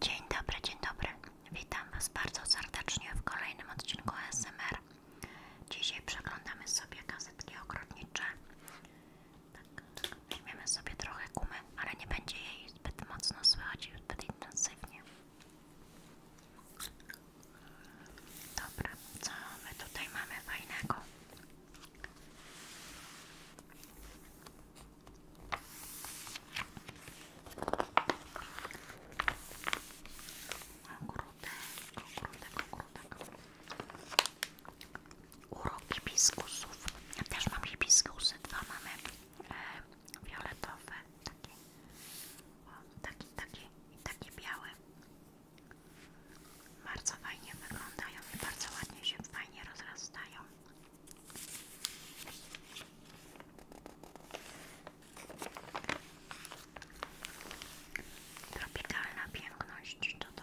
Dzień dobry, dzień dobry. Witam Was bardzo serdecznie w kolejnym odcinku ASMR. Dzisiaj przeglądamy sobie gazetki ogrodnicze. Tak, weźmiemy sobie trochę kumy, ale nie będzie jej zbyt mocno słychać, zbyt intensywnie. Dobra, co my tutaj mamy fajnego? Ogródek, ogródek, ogródek. Urok hibiskusów. Ja też mam hibiskusy. Dwa mamy e, fioletowe. Takie. O, taki, taki i taki biały. Bardzo fajnie wyglądają i bardzo ładnie się fajnie rozrastają. Tropikalna piękność to to.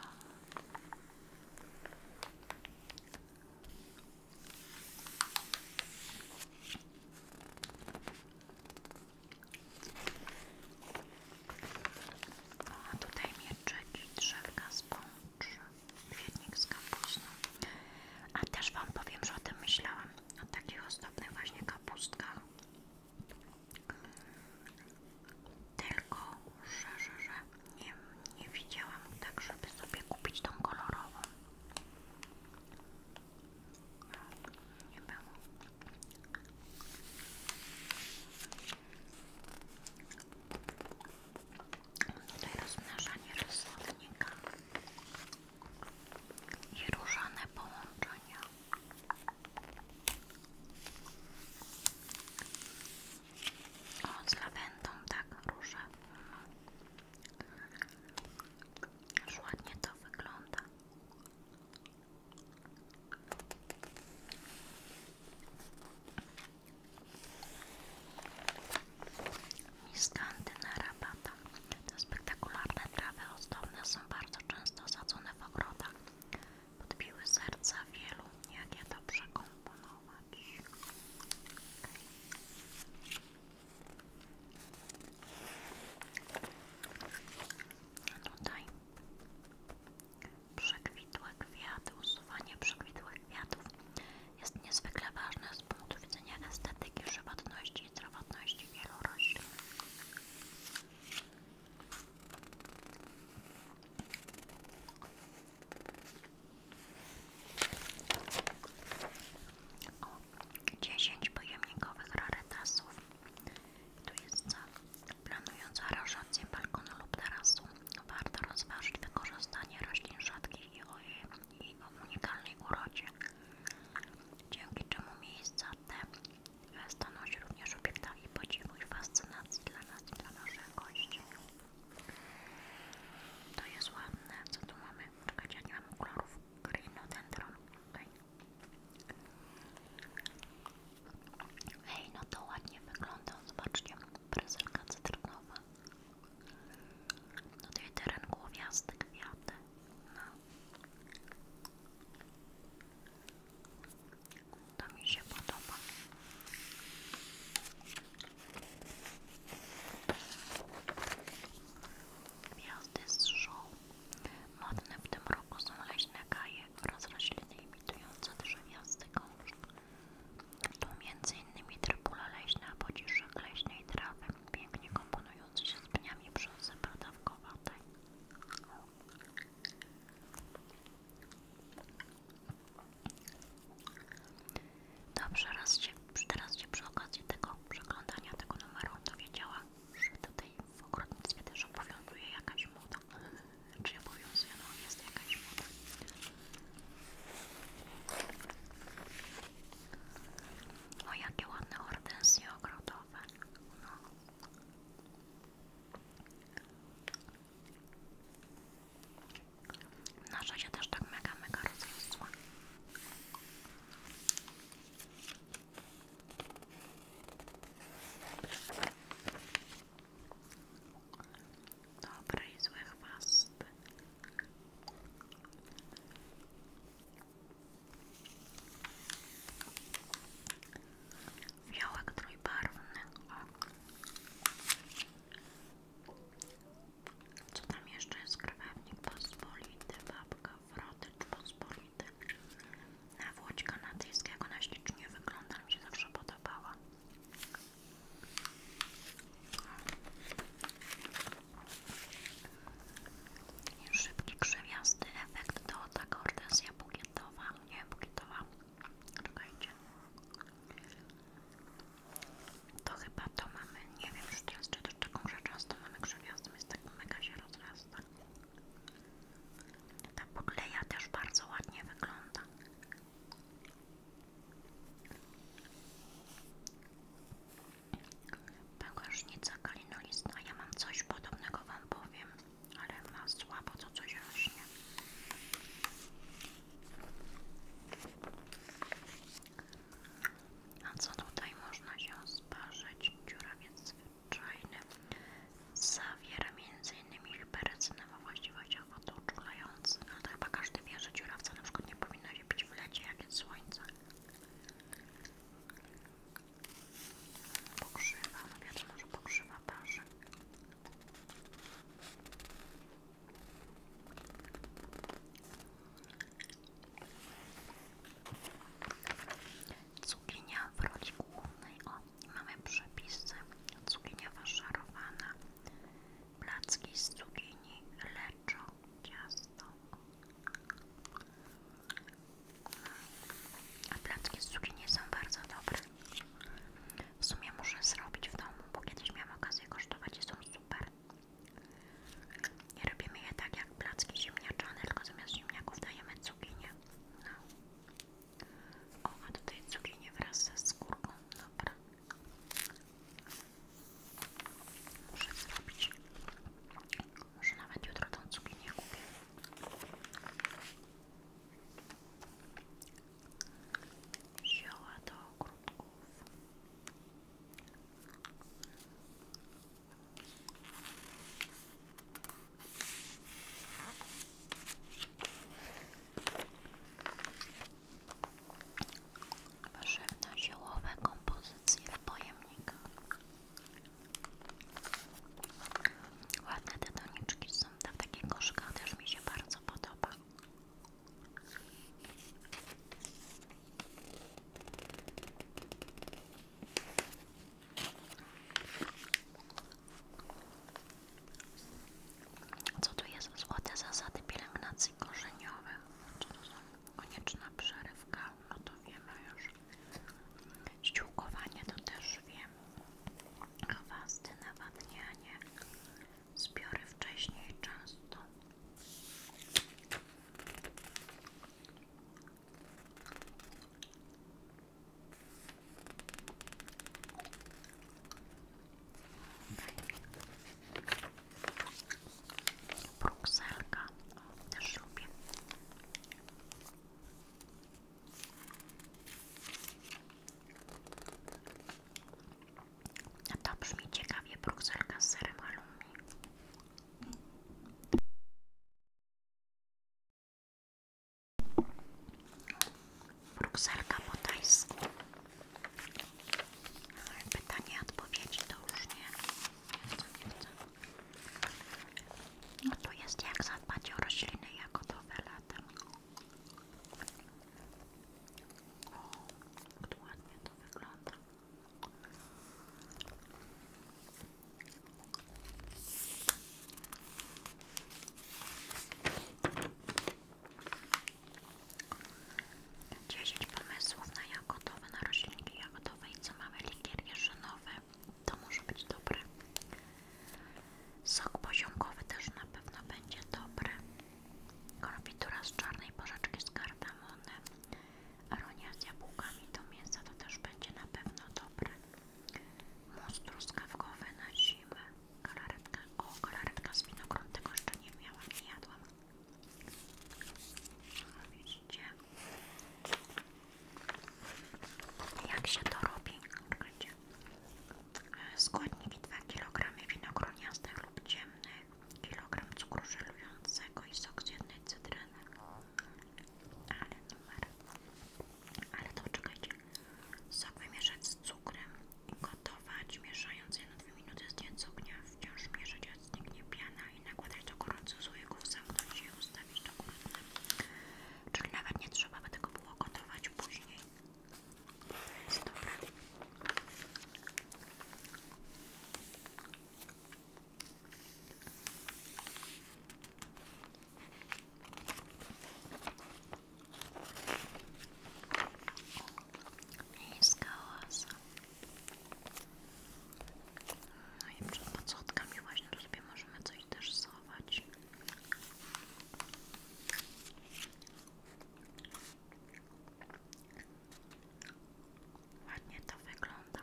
a tutaj mieczyki, drzewka, spącz. Świetnik z kapustą. A też Wam powiem, że o tym myślałam. O takich osobnych właśnie kapustkach. Tylko, że, że, że nie, nie widziałam tak, żeby sobie kupić tą kolorową. Nie było. Tutaj rozmnażanie rysownika i różane połączenia. O, z tak, róże. Już to wygląda. Miskantyna rabata. Te spektakularne trawy ozdobne są bardzo często sadzone w ogrodach. Podbiły serca wielu, jak je dobrze komponować. Okay. No A przekwitłe kwiaty, usuwanie przekwitłych kwiatów jest niezwykle ważne z punktu widzenia estetyki, żywotności i zdrowotności wielu roślin. O, 10 pojemnikowych rarytasów. Tu jest co? Planująca aranżację balkonu lub tarasu warto rozważyć wykorzystanie roślin rzadkich i o unikalnej urodzie, dzięki czemu miejsca te staną się również obiektami podziwu i fascynacji dla nas i dla naszych gości. To jest ładne, co tu mamy? Czekać, ja nie mam kolorów grinodendron. Okay. Ej, no to ładnie wygląda, zobaczcie, prezelka cytrynowa, no Tutaj teren głowiasty, kwiaty. No. To mi się podoba. Gwiazdy z żół. Modne w tym roku są leśne kaje oraz rośliny imitujące drzewiasty gąszcz. Tu m.in. drapula leśna, pociszek leśnej trawy, pięknie komponujący się z pniami brzozy pradawkowatej. Tak. Dobrze, raz się, teraz się przy okazji tego przeglądania tego numeru dowiedziała, że tutaj w ogrodnictwie też obowiązuje jakaś moda czy znaczy, obowiązuje, no jest jakaś moda. O, jakie ładne hortensje ogrodowe. No. jest się też tak mega, mega rozrosła. Dobre i złe chwasty. Białek trójbarwny. O. Co tam jeszcze jest? Krewetnik pospolity, babka, wrotycz pospolity. Na Włodź kanadyjskiego na ślicznie wygląda, mi się zawsze podobała szybki, krzewiasty efekt To ta kortezja bukietowa. Nie, bukietowa. Czekajcie. To chyba to mamy. Nie wiem czy teraz, czy taką rzecz często mamy krzewiastą. Jest tak mega się rozrasta. Ta budleja też bardzo ładnie wygląda. Pękażnica kalinolistna. Ja mam coś podobnego Wam powiem, ale ma słabo to coś rośnie. A co tutaj można się sparzyć? Dziurawiec zwyczajny zawiera m.in jakichś berecyny ma właściwościach wodoodczulających, no to chyba każdy wie, że dziurawca na przykład nie powinno się pić w lecie, jak jest słońce. Pokrzywa, no wiadomo, może pokrzywa parzy. Cukinia w roli głównej mamy przepisy, cukinia szarowana, placki z cukinii, leczo, ciasto. A placki z cukinii są bardzo dobre. W sumie muszę zrobić w domu, bo kiedyś miałam okazję kosztować są super. I robimy je tak jak placki ziemniaczane, tylko zamiast ziemniaków dajemy cukinię. No. O, a tutaj cukinie wraz ze skórką, dobra. Muszę zrobić. Może nawet jutro tą cukinię kupię. Zioła do ogródków. Warzywno-ziołowe kompozycje w pojemnikach. Ładne te doniczki są na takich koszkach, też mi się bardzo podoba. Co tu jest? Złote zasady pielęgnacji korzeniowych. Co to są? Konieczna przerywka. No to wiemy już. Ściółkowanie to też wiem. Chwasty, nawadnianie. Zbiory wcześniej często. Brukselka, o, A to brzmi ciekawie, brukselka z serem halloumi. Brukselka po tajsku. Pytanie, odpowiedzi to już nie. No jest jak zadbać o roślinę, jagodowe latem. O, jak ładnie to wygląda. 10 pomysłów na jagodowe, na roślinki jagodowe i co mamy? Likier jeżynowy, to może być dobre. Sok poziomkowy też na pewno będzie dobry. Konfitura z czarnej porzeczki z kardamonem. Aronia z jabłkami do mięsa to też będzie na pewno dobre. Mus truskawkowy na zimę. Galaretka. O, galaretka z winogron, tego jeszcze nie miałam, nie jadłam. widzicie? Jak się to robi? Czekajcie. E, składniki 2 kg winogroniastych lub ciemnych, kilogram cukru żelującego i sok z jednej cytryny. Ale Ale to czekajcie. Sok wymieszać z cukrem i gotować, mieszając 1-2 minuty z dnia ognia, wciąż mieszać aż zniknie piana i nakładać do gorących słoików, zamknąć i ustawić do góry. Czyli nawet nie trzeba by tego było gotować później. Miejska oaza. No i przed właśnie tu sobie możemy coś też schować. Ładnie to wygląda.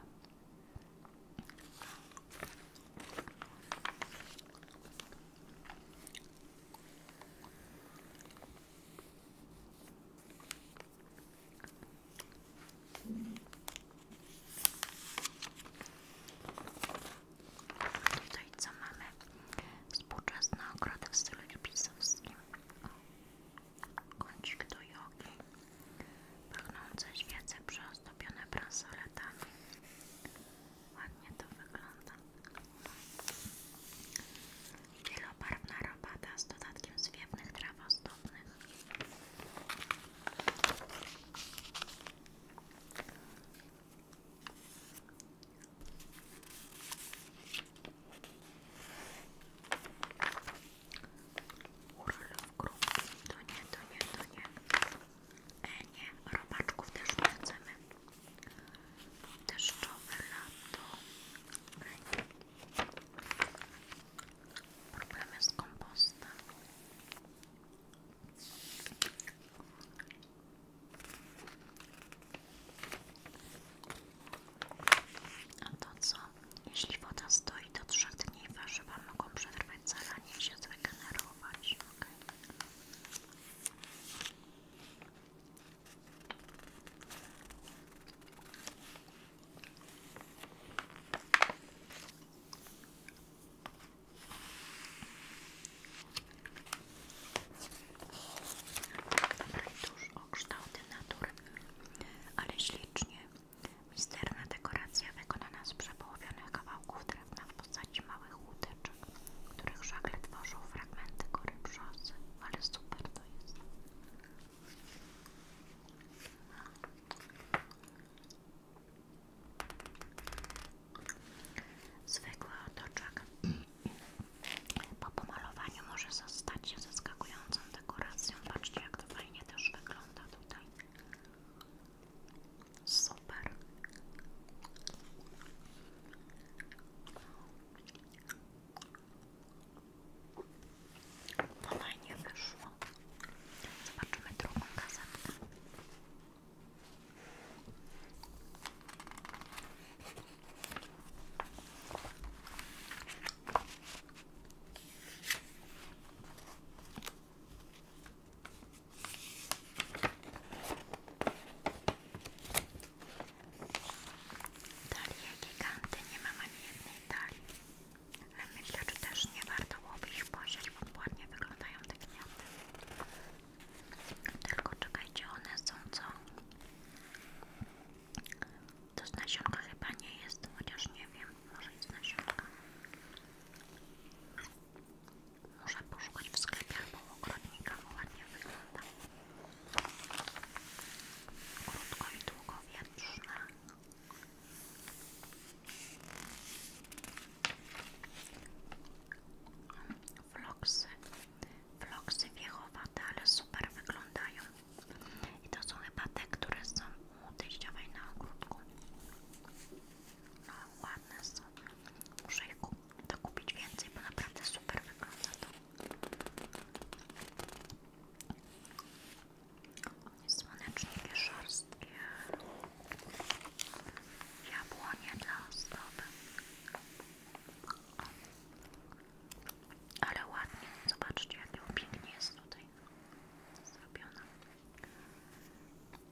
Tutaj co mamy? Współczesne ogrody w stylu lipisowskim. Kącik do jogi. Pachnące świece przeozdobione bransoletami. Ładnie to wygląda. Wielobarwna robata z dodatkiem zwiewnych traw ozdobnych. Urlop to nie, to nie, to nie. E, nie, robaczków też nie chcemy. Deszczowe lato. Problemy z kompostem. A to co? Jeśli woda stoi do trzech dni, warzywa mogą przetrwać zalanie i się zregenerować. Okay. Rajtusz o kształty natury, ale ślicznie. Misterna dekoracja wykonana z przepołowionych kawałków na w postaci małych łódeczek, których żagle tworzą fragmenty kory brzozy, ale super to jest. Zwykły otoczek po pomalowaniu może zostać się zaskakującą dekoracją. Patrzcie, jak to fajnie też wygląda tutaj. Super. To fajnie wyszło. Zobaczymy drugą gazetkę. Talie giganty, nie mam ani jednej talii. Ale myślę, że też nie warto byłoby ich posiać, bo ładnie wyglądają te gniazdy. Tylko czekajcie, one są co? To z nasionka chyba nie jest, chociaż nie wiem, może jest nasionka. Można poszukać w sklepie albo ogrodnika, bo ładnie wygląda. Krótko i długo, na Floksy. Floksy wiechowate, ale super wyglądają. I to są chyba te, które są u teściowej na ogródku. No ładne są. Muszę ich kupić więcej, bo naprawdę super wygląda to. Słoneczniki szorstkie. Jabłonie dla ozdoby. Ale ładnie, zobaczcie, jak pięknie jest tutaj zrobiona.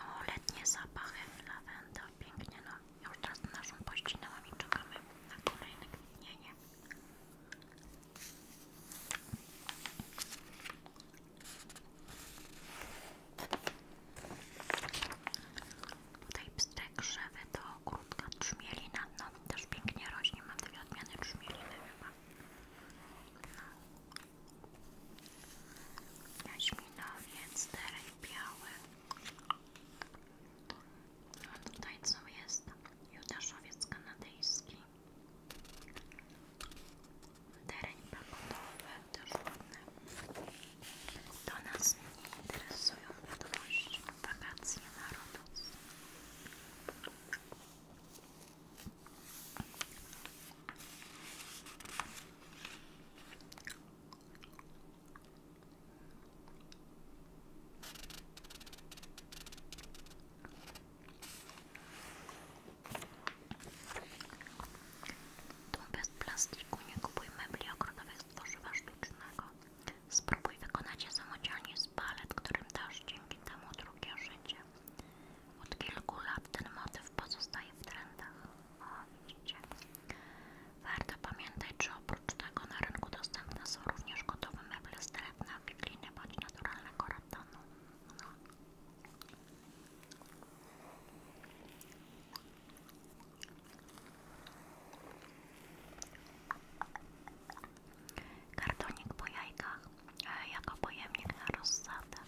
O, letnie zapachy, lawenda, pięknie, no już teraz naszą pościnałam i czekamy na kolejne kwitnienie. Tutaj pstek krzewy to krótka trzmielina, no też pięknie rośnie, mam dwie odmiany trzmieliny chyba jaśminowiec, terek biały a tutaj co jest? judaszowiec kanadyjski tereń pagodowy, też ładny to nas nie interesują wiadomości wakacje narodów tu bez plastiku nie kupuj mebli ogrodowych z tworzywa sztucznego. Spróbuj wykonać je samodzielnie z palet, którym dasz dzięki temu drugie życie. Od kilku lat ten motyw pozostaje w trendach. O, widzicie. Warto pamiętać, że oprócz tego na rynku dostępne są również gotowe meble z drewna, wikliny bądź naturalnego ratonu. No kartonik po jajkach e, jako pojemnik na rozsadę.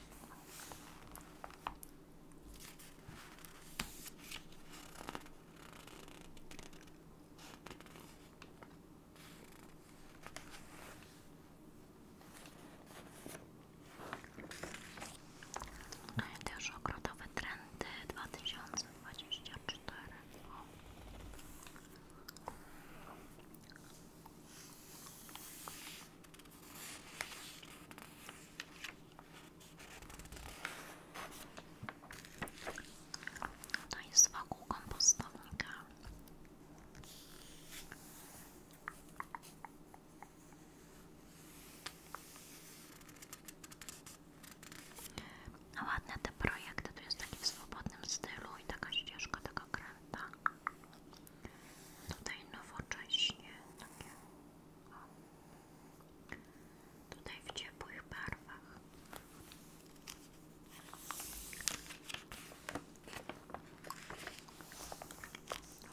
Też ogrodowe trendy 2024. O. To jest wokół kompostownika. Ładne te projekty, tu jest taki w swobodnym stylu i taka ścieżka lata. Tutaj nowocześnie, takie, o. tutaj w ciepłych barwach.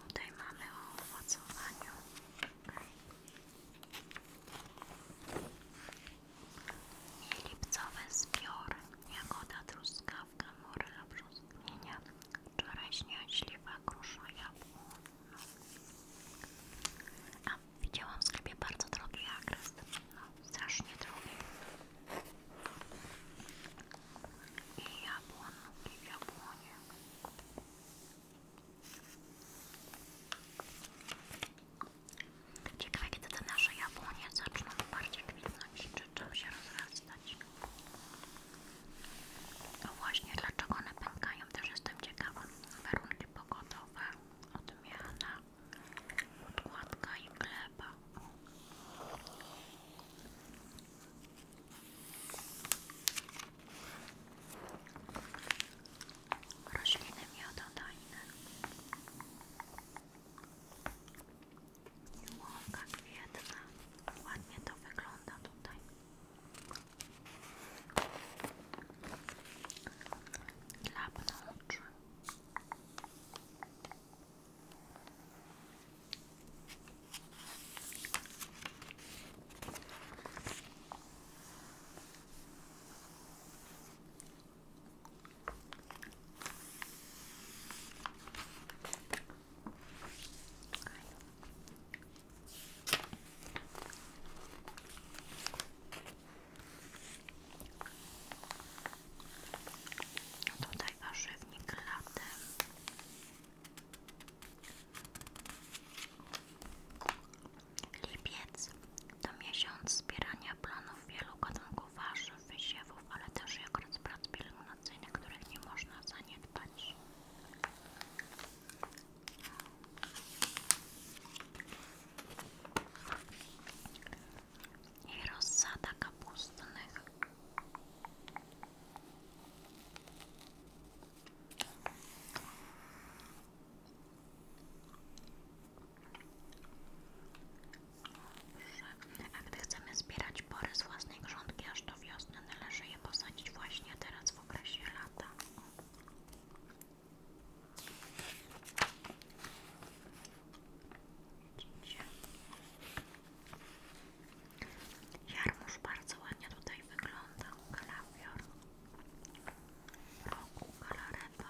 Tutaj mamy o owocowaniu. Okay. Lipcowe zbiory, jakoda truskawka, morela, brzoskwinia, czereśnia, śliwa, grusza, jabłko. A widziałam w sklepie bardzo drogi agres, no strasznie drogi. I jabłon, i jabłonie. Ciekawe kiedy te nasze jabłonie zaczną bardziej kwitnąć, czy czym się rozrastać. No właśnie, dlaczego one pękają, też jestem ciekawa. Warunki pogodowe, odmiana, podkładka i gleba. Rośliny miododajne. Miłowka kwietna. Ładnie to wygląda tutaj. Lapną Tutaj warzywnik latem. Lipiec to miesiąc zbierania plonów wielu gatunków rynku warzyw, wysiewów, ale też i okres prac pielęgnacyjnych, których nie można zaniedbać. I rozsada kapustnych. A gdy chcemy zbierać pory z własnej grządki aż do wiosny, należy je posadzić właśnie teraz w okresie lata. Widzicie? Jarmuż bardzo ładnie tutaj wygląda. Kalafior, roku, kalarewa,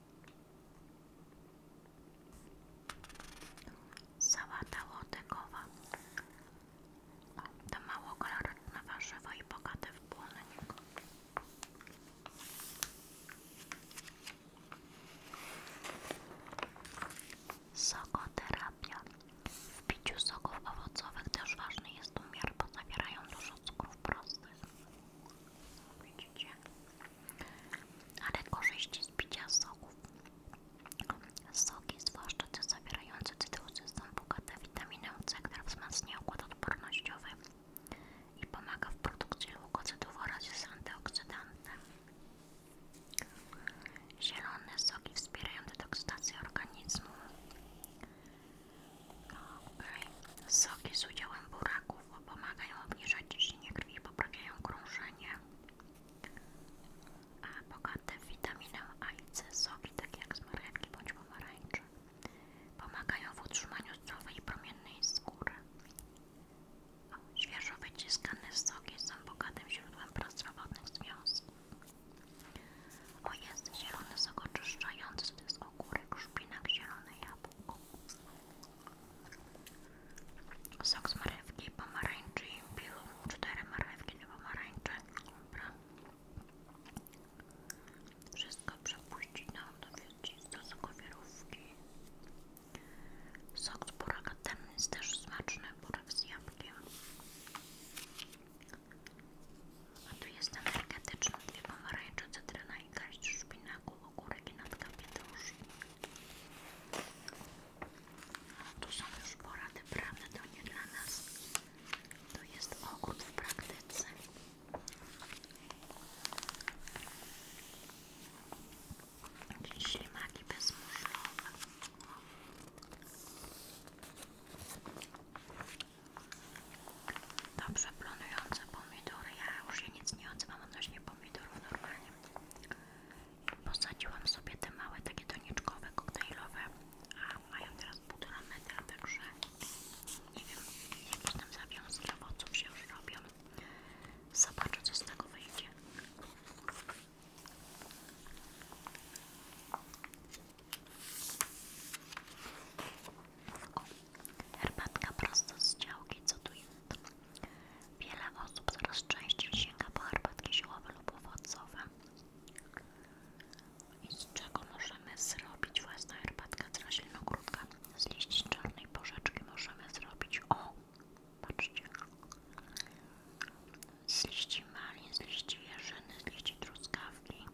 Sałata łotygowa. To mało kalorytne warzywo i bogate w błonnik. Sokoterapia. W piciu soków owocowych też ważny jest umiar, bo zawierają dużo cukrów prostych widzicie? Ale korzyści z picia soków. Soki, zwłaszcza te zawierające cytrusy, są bogate w witaminą C, która wzmacnia układ odpornościowy i pomaga w produkcji leukocydów oraz jest antyoksydantem. Zielone soki wspierają detoksydację organizmu. Soki z udziałem buraków pomagają obniżać ciśnienie krwi i poprawiają krążenie. A bogate w witaminę A i C soki, takie jak z bądź pomarańcze, pomagają w utrzymaniu zdrowej i promiennej skóry. świeżo wyciskane soki są bogatym źródłem prozdrowotnych związków. O jest zielony sok oczyszczający, to jest ogórek, szpinak, zielone jabłko słabo. O. Sok z marchewki, pomarańczy i piłą. Cztery marchewki do pomarańczy. Dobra. Wszystko przepuścić na do sokowierówki. Sok z buraka ten jest też smaczny, burak z jabłkiem. A tu jest energetyczny, dwie pomarańcze, cytryna i garść szpinaku, ogórek i natka A Tu są już porady prawda, to nie dla nas. To jest ogród w praktyce. Jakieś ślimaki bezmuszlowe. Dobrze, planujące pomidory. Ja już nic nie odzywam odnośnie pomidorów normalnie. Posadziłam sobie te małe, takie doniczkowe, koktajlowe, a mają teraz półtora metra, także nie wiem, jakieś tam zawiązki owoców się już robią. Zobaczę, co z tego wyjdzie herbatka prosto z działki, co tu jest? Wiele osób coraz częściej sięga po herbatki ziołowe lub owocowe. I z czego możemy zrobić własną herbatkę z roślinogródka? Z liści czarnej porzeczki możemy zrobić, o, patrzcie, z liści malin, z liści jeżyny, z liści truskawki,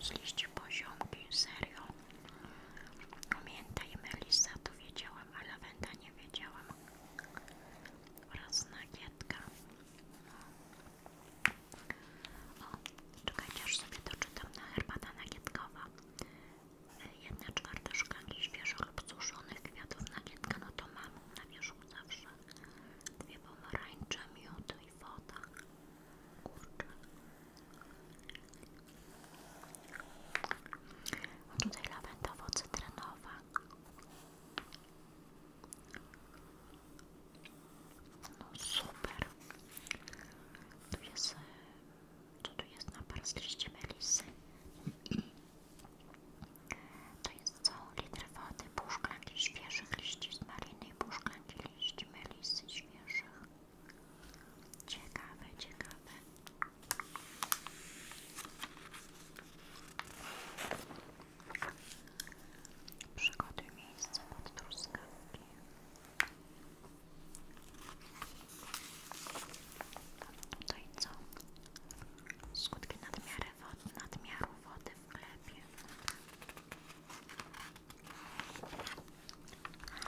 z Zliście poziomki, serio. pamiętajmy i melisa to wiedziałam, a lawenda nie wiedziałam. Oraz nagietka. O, czekajcie, aż sobie doczytam na herbata nagietkowa. Jedna czwarta szklanki świeżo lub suszonych kwiatów nagietka, no to mam na wierzchu zawsze. Dwie pomarańcze, miód i woda. Tu jest tutaj lawendowo-cytrynowa. No super. Tu jest... Co tu jest na z liście melisy? To jest co? Litr wody, pół świeżych liści z maliny i pół liści melisy świeżych. Ciekawe, ciekawe. Przygotuj miejsce pod truskawki. Tutaj co? Skutki nadmiaru wody, nadmiaru wody w glebie.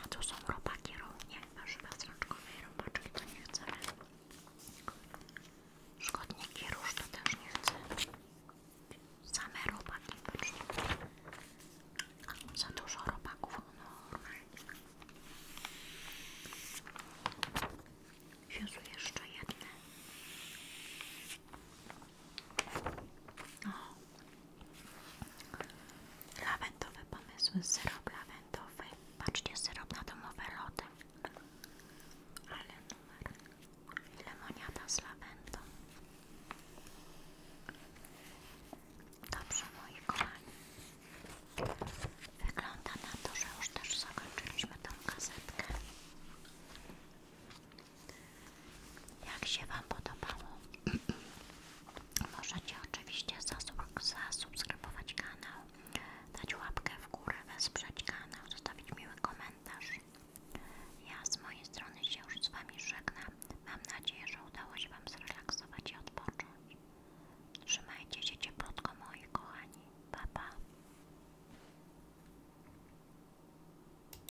A tu są robaki równie, warzywa strączkowe i robaczki to nie chcemy. Szkodniki róż to też nie chcę. Same robaki, patrzcie. Za dużo robaków, normalnie. Jezu, jeszcze jedne. O, Lawendowe pomysły, syrop lawendowy. Patrzcie, syrop na domowe lody. Ale numer. Lemoniada z lawendą. Dobrze, moi kochani. Wygląda na to, że już też zakończyliśmy tą kasetkę. Jak się Wam podobało? Możecie oczywiście zasubskrybować kanał, dać łapkę w górę, wesprzeć kanał, zostawić miły komentarz. Ja z mojej strony się już z Wami żegnam. Mam nadzieję, że udało się Wam zrelaksować i odpocząć. Trzymajcie się cieplutko, moi kochani. Pa, pa.